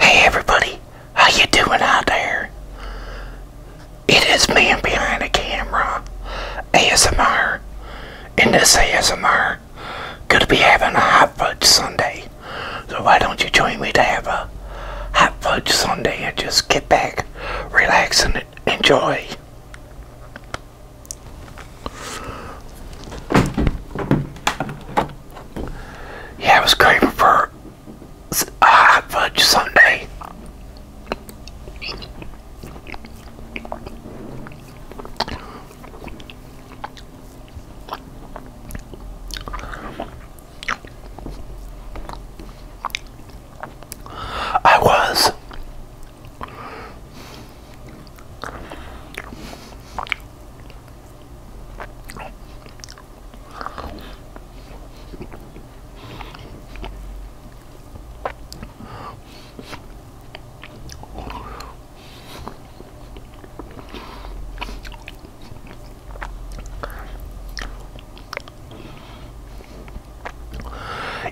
Hey everybody, how you doing out there? It is man behind the camera, ASMR, and this ASMR gonna be having a hot fudge Sunday. So why don't you join me to have a hot fudge Sunday and just get back, relax, and enjoy. Yeah, uh, I was craving for a hot fudge sundae. I was.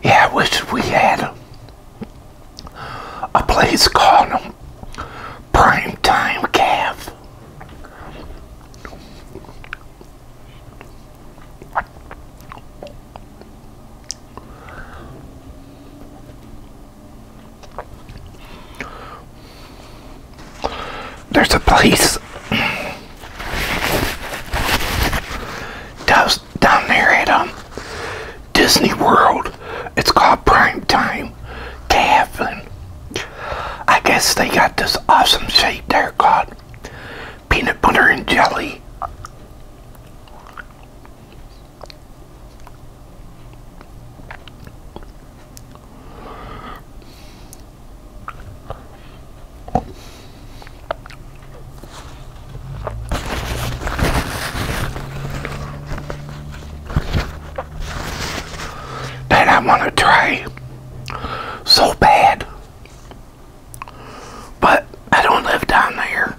Yeah, I wish we had a, a place called prime time calf. There's a place down there at um, Disney World. It's called Prime Time Cabin. I guess they got this awesome shake there called peanut butter and jelly that I want to try so bad. But I don't live down there.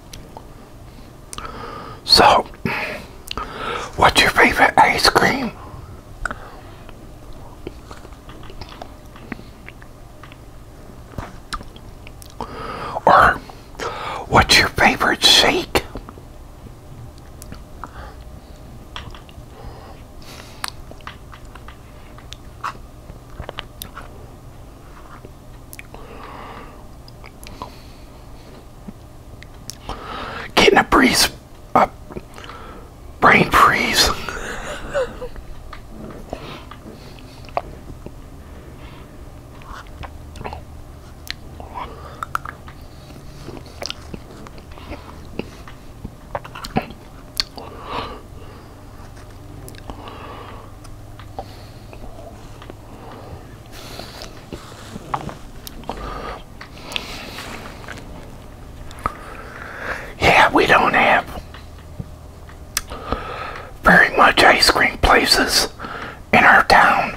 So, what's your favorite ice cream? Or, what's your favorite shake? Getting a breeze, a brain freeze. Yeah, we don't have very much ice cream places in our town.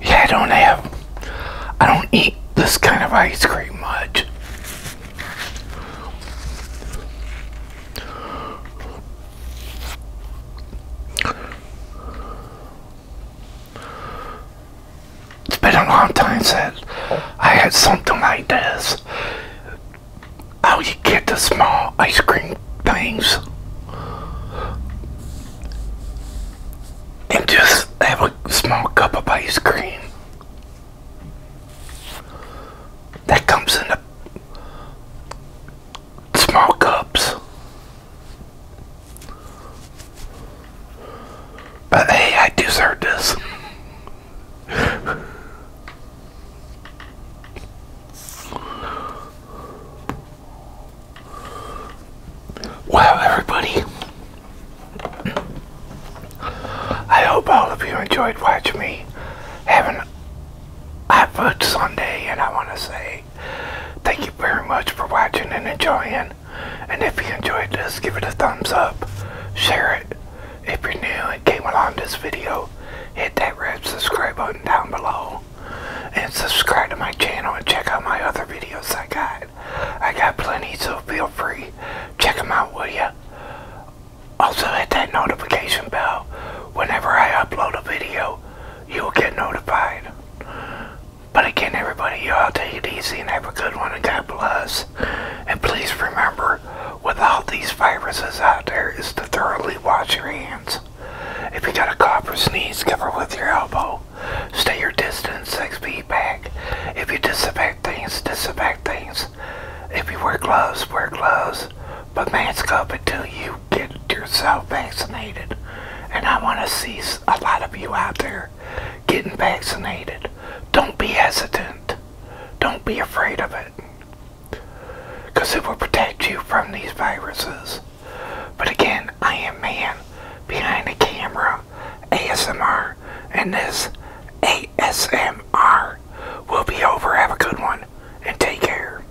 Yeah, I don't have, I don't eat this kind of ice cream much. It's been a long time since I had something like this. How you get the small ice cream things and just have a small cup of ice cream that comes in the small cups. But hey, I deserve this. Well, everybody, I hope all of you enjoyed watching me have an hot Sunday, and I want to say Thank you very much for watching and enjoying. And if you enjoyed this, give it a thumbs up. Share it. If you're new and came along this video, hit that red subscribe button down below. And subscribe to my channel and check out my other videos I got. I got plenty, so feel free. Check them out, will ya? Also hit that notification bell. Whenever I upload a video, you'll get notified. But again, everybody, you all take it easy and have a good one, and God bless. And please remember, with all these viruses out there, is to thoroughly wash your hands. If you got a cough or sneeze, cover with your elbow. Stay your distance, six feet back. If you disinfect things, disinfect things. If you wear gloves, wear gloves. But mask up till you get you're so vaccinated. And I want to see a lot of you out there getting vaccinated. Don't be hesitant. Don't be afraid of it. Because it will protect you from these viruses. But again, I am man behind the camera, ASMR, and this ASMR will be over. Have a good one and take care.